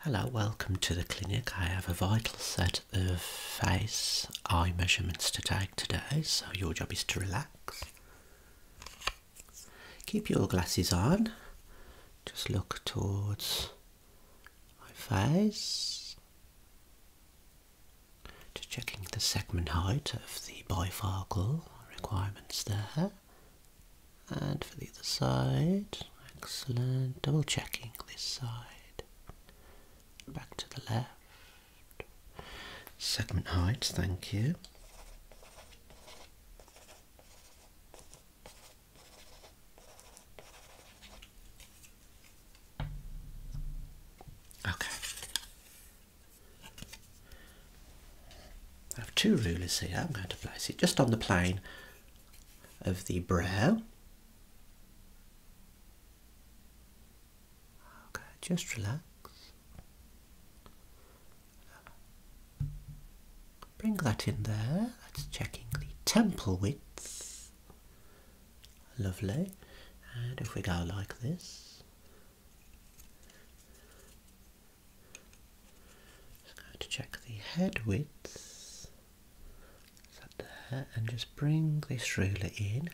Hello, welcome to the clinic. I have a vital set of face eye measurements to take today, so your job is to relax. Keep your glasses on, just look towards my face. Just checking the segment height of the bifocal requirements there and for the other side. Excellent. Double checking this side. Back to the left. Segment height, thank you. Okay. I have two rulers here. I'm going to place it just on the plane of the brow. Okay, just relax. Bring that in there. That's checking the temple width. Lovely. And if we go like this, just going to check the head width. And just bring this ruler in.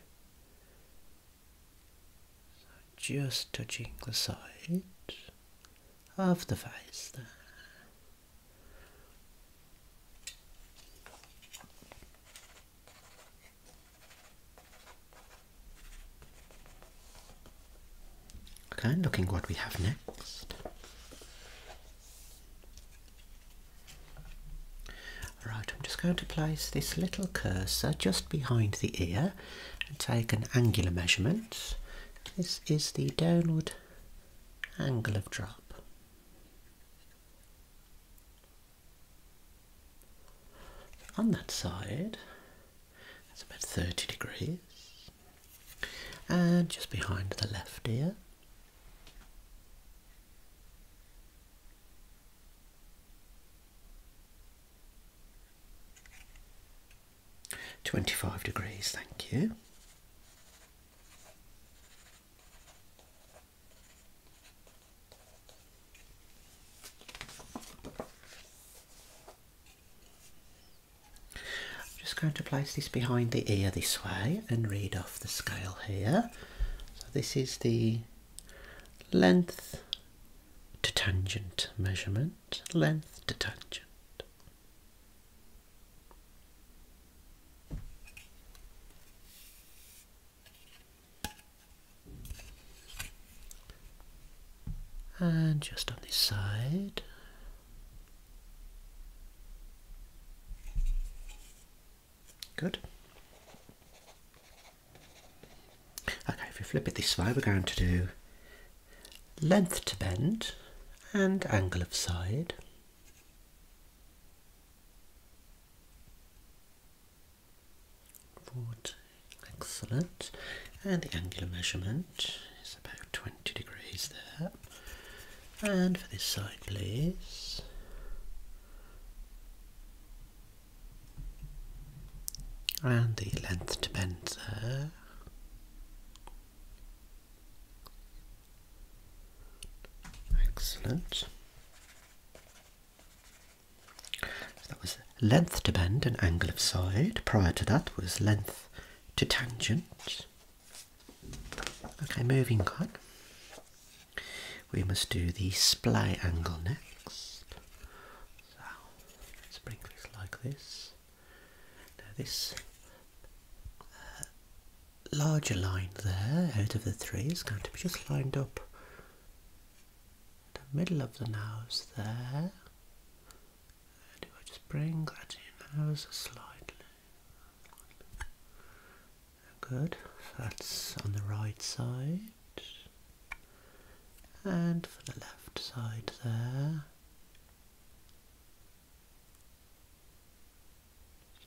So just touching the side of the face there. Okay, looking what we have next. Right, I'm just going to place this little cursor just behind the ear and take an angular measurement. This is the downward angle of drop. On that side, that's about 30 degrees. And just behind the left ear. Twenty five degrees, thank you. I'm just going to place this behind the ear this way and read off the scale here. So this is the length to tangent measurement, length to tangent and just on this side. Good. Okay, if we flip it this way, we're going to do length to bend and angle of side. Excellent. And the angular measurement is about 20 degrees there. And for this side, please. And the length to bend there. Excellent that was length to bend and angle of side. Prior to that was length to tangent. Okay, moving on. We must do the splay angle next. So this like this. Now this uh, larger line there out of the three is going to be just lined up the middle of the nose there. Do I just bring that in nose slightly? Good, that's on the right side. And for the left side there.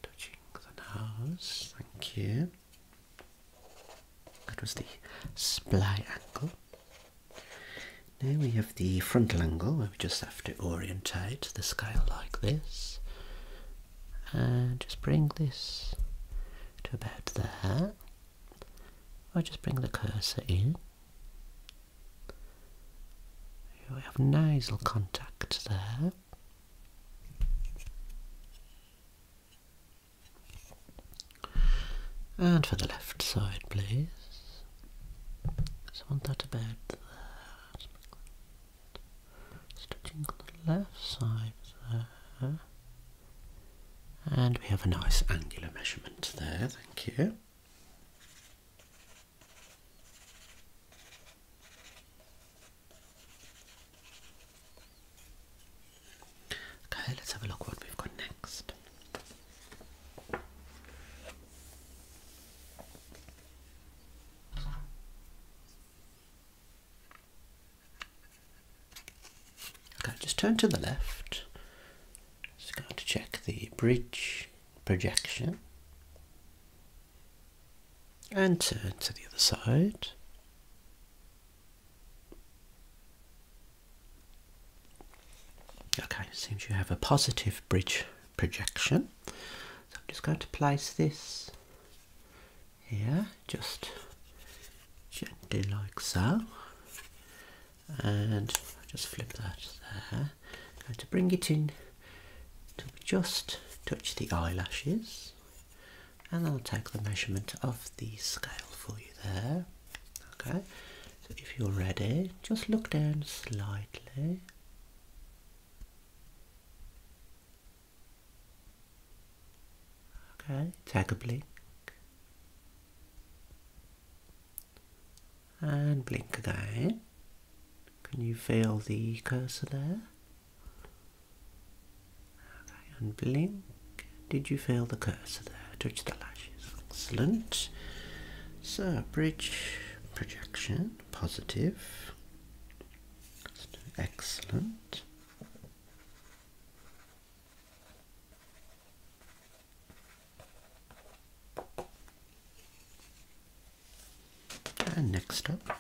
touching the nose, thank you. That was the splay angle. Now we have the frontal angle we just have to orientate the scale like this and just bring this to about there. I just bring the cursor in. We have nasal contact there. And for the left side, please. So I want that about there. Stretching on the left side there. And we have a nice angular measurement there, thank you. Okay, let's have a look what we've got next. Okay, just turn to the left. Just going to check the bridge projection. And turn to the other side. Okay, seems you have a positive bridge projection. So I'm just going to place this here, just gently like so. And just flip that there. going to bring it in to just touch the eyelashes and I'll take the measurement of the scale for you there. Okay, so if you're ready, just look down slightly. Okay, take a blink and blink again. Can you feel the cursor there? and blink. Did you feel the cursor there? Touch the lashes. Excellent. So, bridge projection, positive. Excellent. And next up,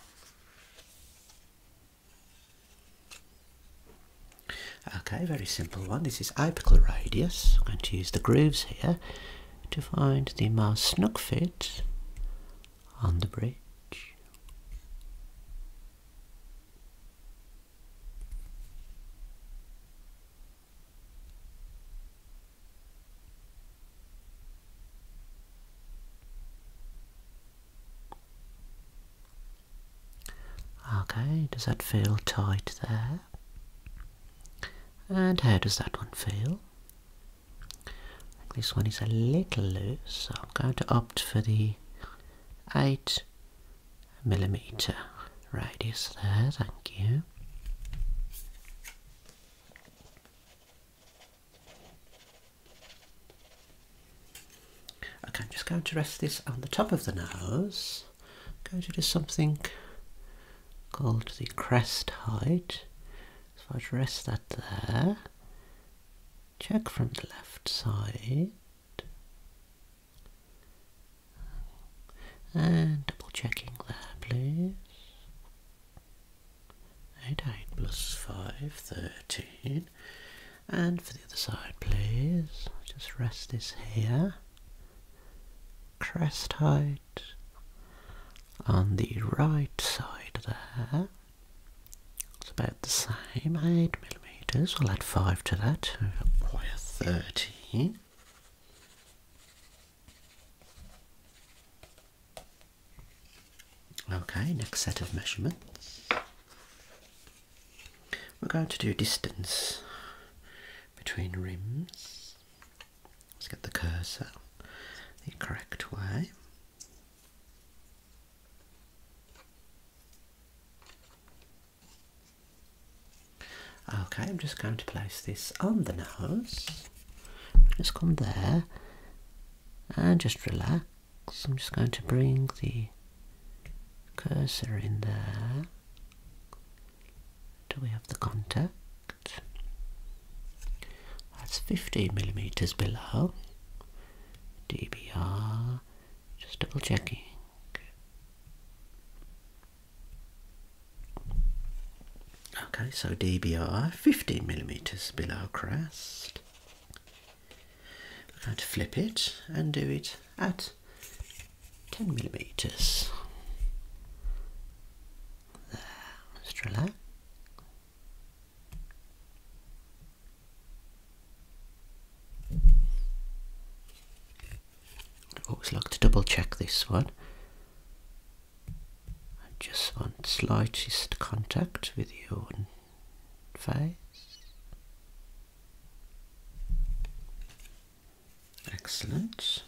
Okay, very simple one. This is apical radius. I'm going to use the grooves here to find the mouse snug fit on the bridge. Okay, does that feel tight there? And how does that one feel? This one is a little loose, so I'm going to opt for the 8 millimeter radius there, thank you. Okay, I'm just going to rest this on the top of the nose. I'm going to do something called the crest height. So i will rest that there. Check from the left side. And double checking there, please. 8, 8 plus 5, And for the other side, please. Just rest this here. Crest height on the right side there. It's about the same, 8 millimetres. We'll add 5 to that. Wire 13. Okay, next set of measurements. We're going to do distance between rims. Let's get the cursor the correct way. Okay, I'm just going to place this on the nose. Just come there and just relax. I'm just going to bring the cursor in there. Do we have the contact? That's 15 millimeters below. DBR, just double checking. Okay, so DBI 15 millimeters below crest. We're going to flip it and do it at 10 millimeters. There, just relax. I always like to double check this one I just want slightest contact with your face. Excellent.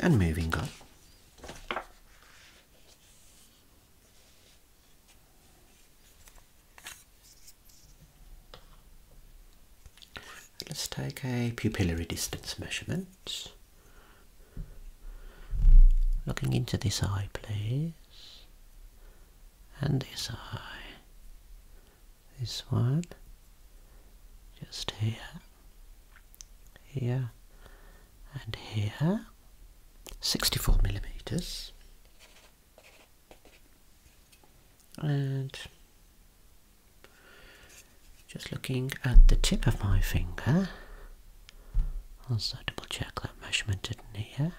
And moving up. Let's take a pupillary distance measurement. Looking into this eye, please. And this eye. This one. Just here. Here. And here. 64 millimeters and just looking at the tip of my finger I'll also double check that measurement didn't here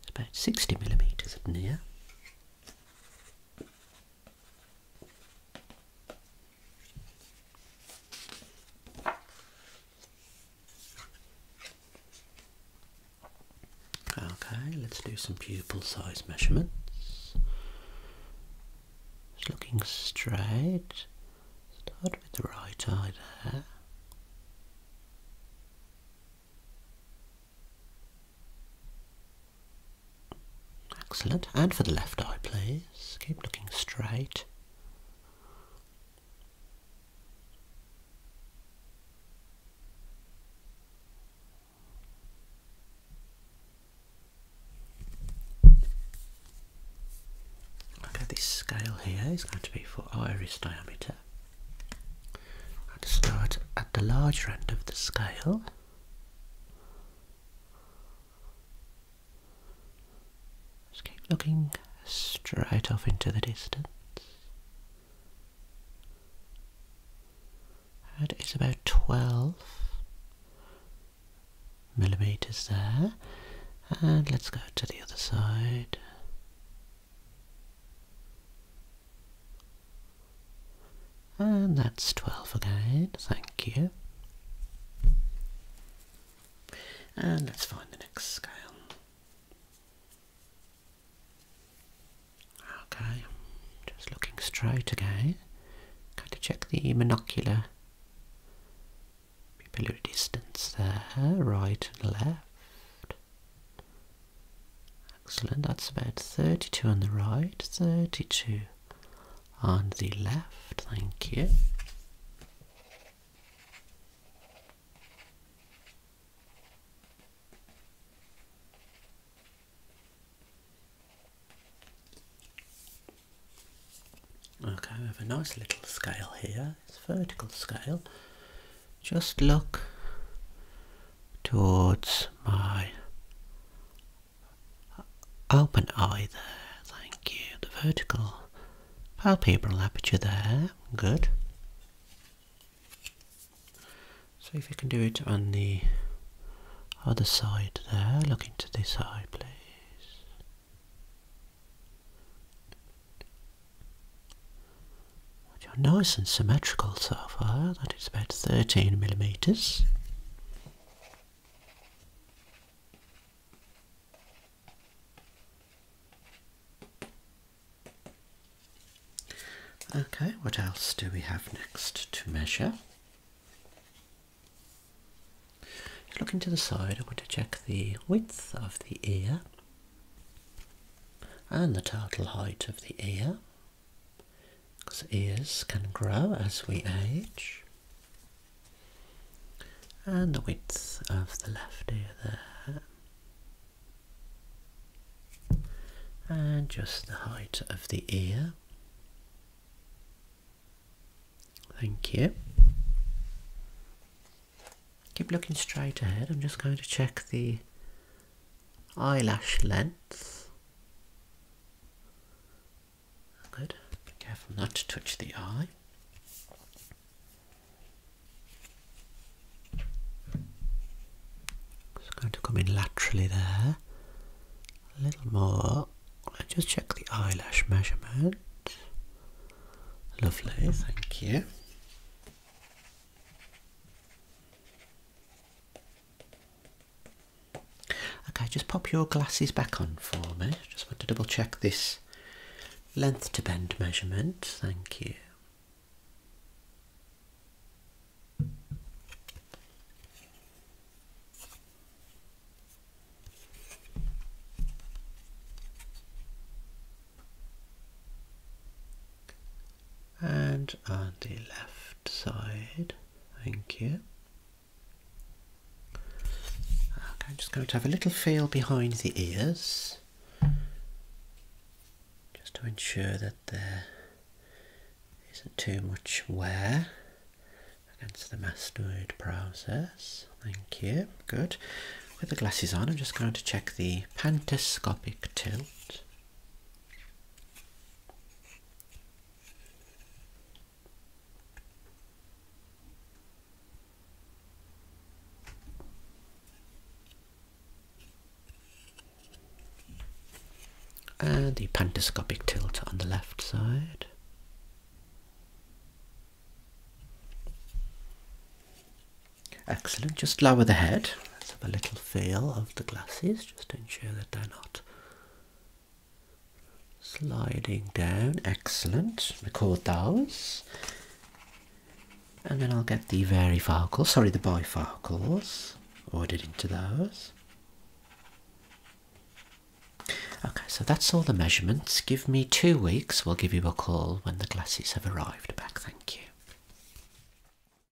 it's about 60 millimeters at near Okay, let's do some pupil size measurements. looking straight. Start with the right eye there. Excellent. And for the left eye, please. Keep looking straight. Okay, this scale here is going to be for iris diameter. I'm going to start at the larger end of the scale just keep looking straight off into the distance. That is about 12 millimeters there. And let's go to the other side. And that's 12 again, thank you. And let's find the next scale. Okay, just looking straight again. Going to check the monocular pupillary distance there, right and left. Excellent, that's about 32 on the right, 32 on the left. Thank you. Okay, we have a nice little scale here. It's a vertical scale. Just look towards my Open eye there, thank you. The vertical palpebral aperture there, good. See if you can do it on the other side there, looking to this side please. You're nice and symmetrical so far, that is about 13 millimetres. Okay, what else do we have next to measure? Looking to the side, I want to check the width of the ear and the total height of the ear because ears can grow as we age. And the width of the left ear there. And just the height of the ear. Thank you. Keep looking straight ahead. I'm just going to check the eyelash length. Good. careful not to touch the eye. It's going to come in laterally there. A little more. let just check the eyelash measurement. Lovely, thank you. Okay, just pop your glasses back on for me. Just want to double check this length to bend measurement. Thank you. And on the left side. Thank you. Okay, I'm just going to have a little feel behind the ears just to ensure that there isn't too much wear against the mastoid process. Thank you. Good. With the glasses on, I'm just going to check the pantoscopic tilt and the pantoscopic tilt on the left side. Excellent, just lower the head. Let's have a little feel of the glasses just ensure that they're not sliding down. Excellent. Record those. And then I'll get the very varifocals, sorry, the bifocals ordered into those. Okay, so that's all the measurements. Give me two weeks. We'll give you a call when the glasses have arrived back. Thank you.